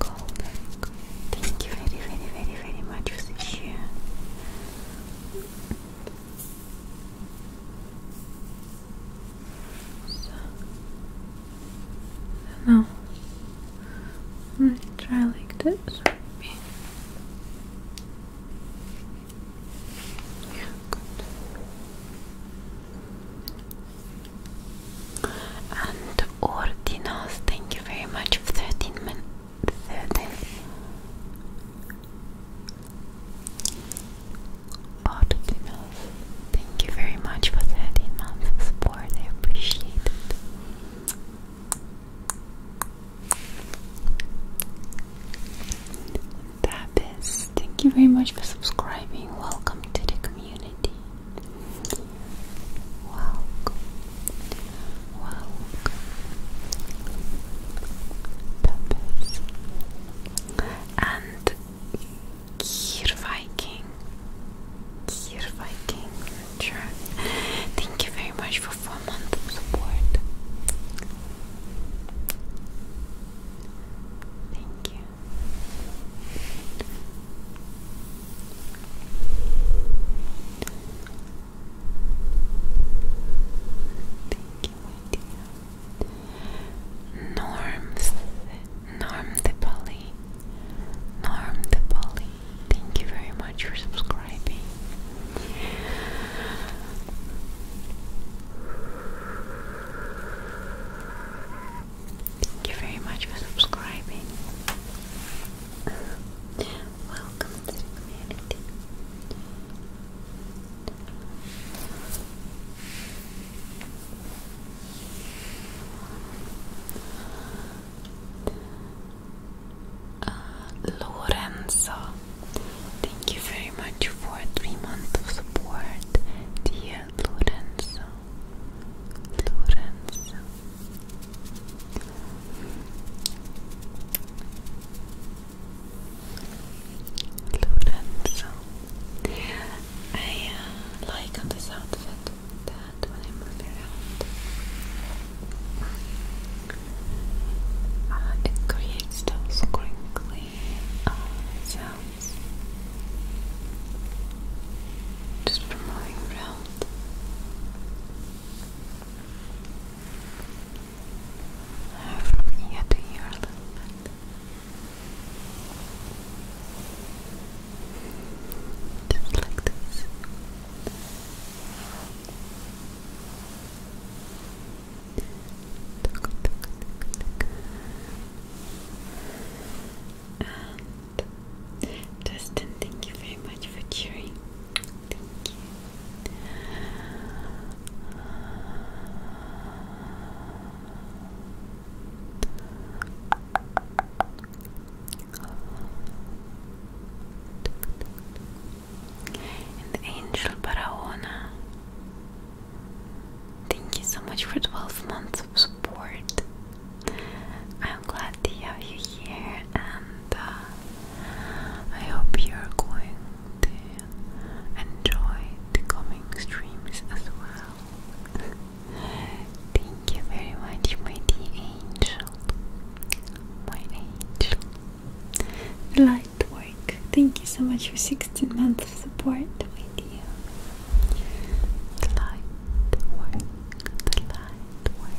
Call back. Thank you very, very, very, very much for the share. So, now, try like this. Yeah, good. And Ordinos, thank you very much for 13 minutes. 13. Ordinos, thank you very much for 13 months of support. I appreciate it. That is, thank you very much for subscribing. Welcome to the community. Welcome, welcome, puppies, and Kier Viking, Kier Viking, sure. Thank you very much for four months of support. Thank you. Thank you, Norms, Norm the Polly, Norm the Polly. Thank you very much for subscribing. Thank you very much for subscribing. Welcome to the community. Uh, Lorenzo, thank you very much for three months of support, dear Lorenzo. Florence Lorenzo. I uh, like on this outfit that uh, it creates those crinkly sounds. Just promoting round. Uh, from ear to ear a little bit. Just like this. Dustin, thank you very much for cheering. Thank you. And Angel Barahona. Thank you so much for 12 months of support. I'm glad to have you here, and uh, I hope you're going to enjoy the coming streams as well. Thank you very much, my dear angel. My angel. Light work. Thank you so much for 16 months of support, with you. The light work, the light work.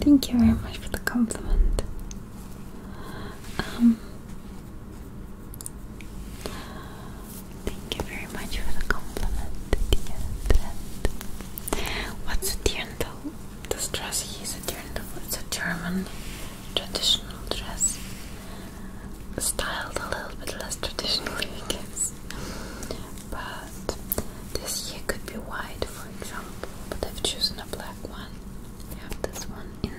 Thank you very much for the compliment. Um, thank you very much for the compliment, What's a dirndl? This dress is a dirndl. It's a German traditional dress, styled a little bit less traditionally, I guess. But this here could be white, for example, but I've chosen a black one. I have this one in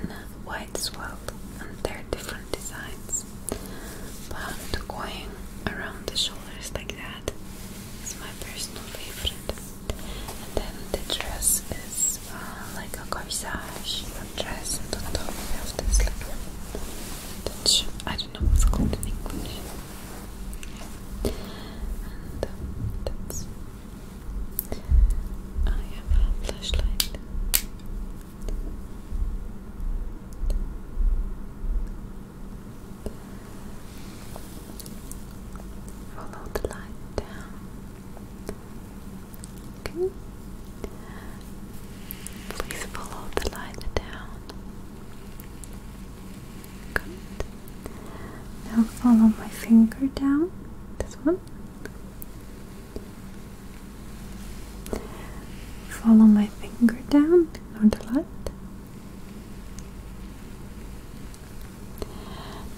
white as well, and they're different designs. But going around the shoulders like that is my personal favorite. And then the dress is uh, like a corsage, a dress, and on top we have this like touch. Um, I have a flashlight. Follow the light down. Okay. Please follow the light down. Good. Now follow my finger down. This one. Follow my finger down on the left.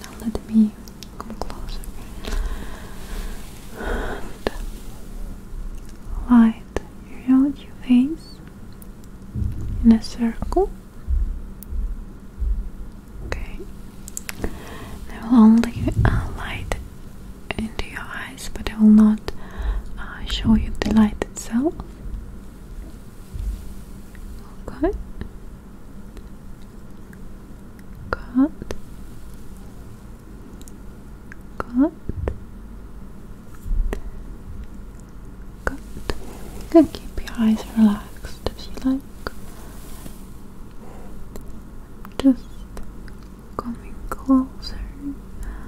Now let me come closer. light you hold your face in a circle. Okay. I will only uh, light into your eyes, but I will not uh, show you the light itself. Good. Good. Good. Good. can keep your eyes relaxed if you like. Just coming closer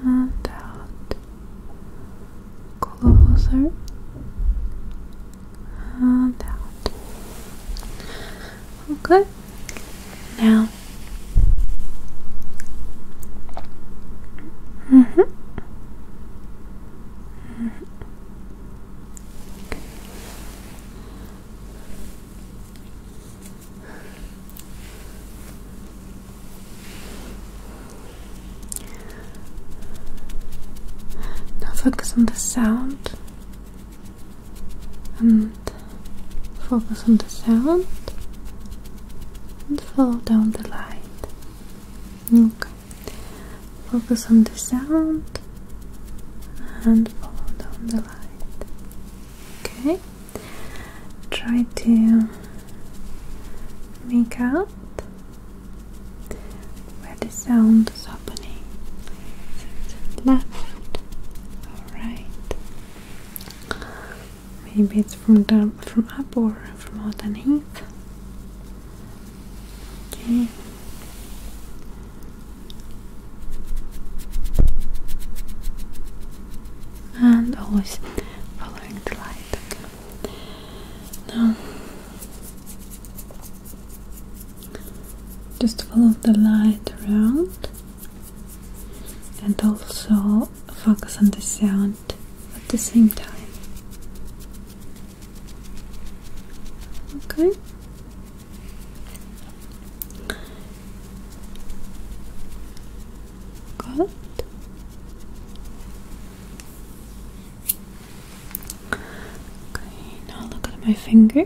and out. Closer and out. Okay. Now Mm -hmm. Now focus on the sound and Focus on the sound and follow down the light. Okay. Focus on the sound and follow down the light. Okay. Try to make out where the sound is happening. left right. Maybe it's from down, from up or from underneath. Okay. And always following the light. Okay. Now, just follow the light around and also focus on the sound at the same time. Okay. Good. Okay, now look at my finger.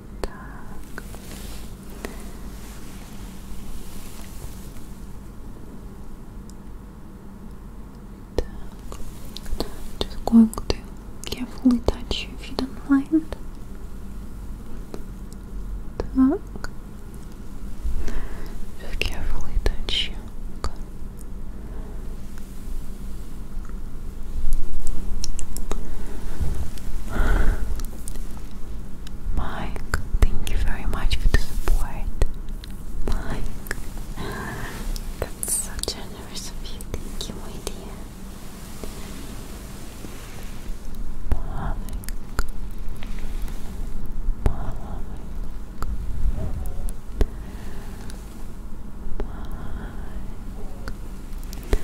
just going to carefully touch you if you don't mind just carefully touch you Mike, thank you very much for the support. Mike, that's so generous of you. Thank you, my dear. Mike, Mike, Mike.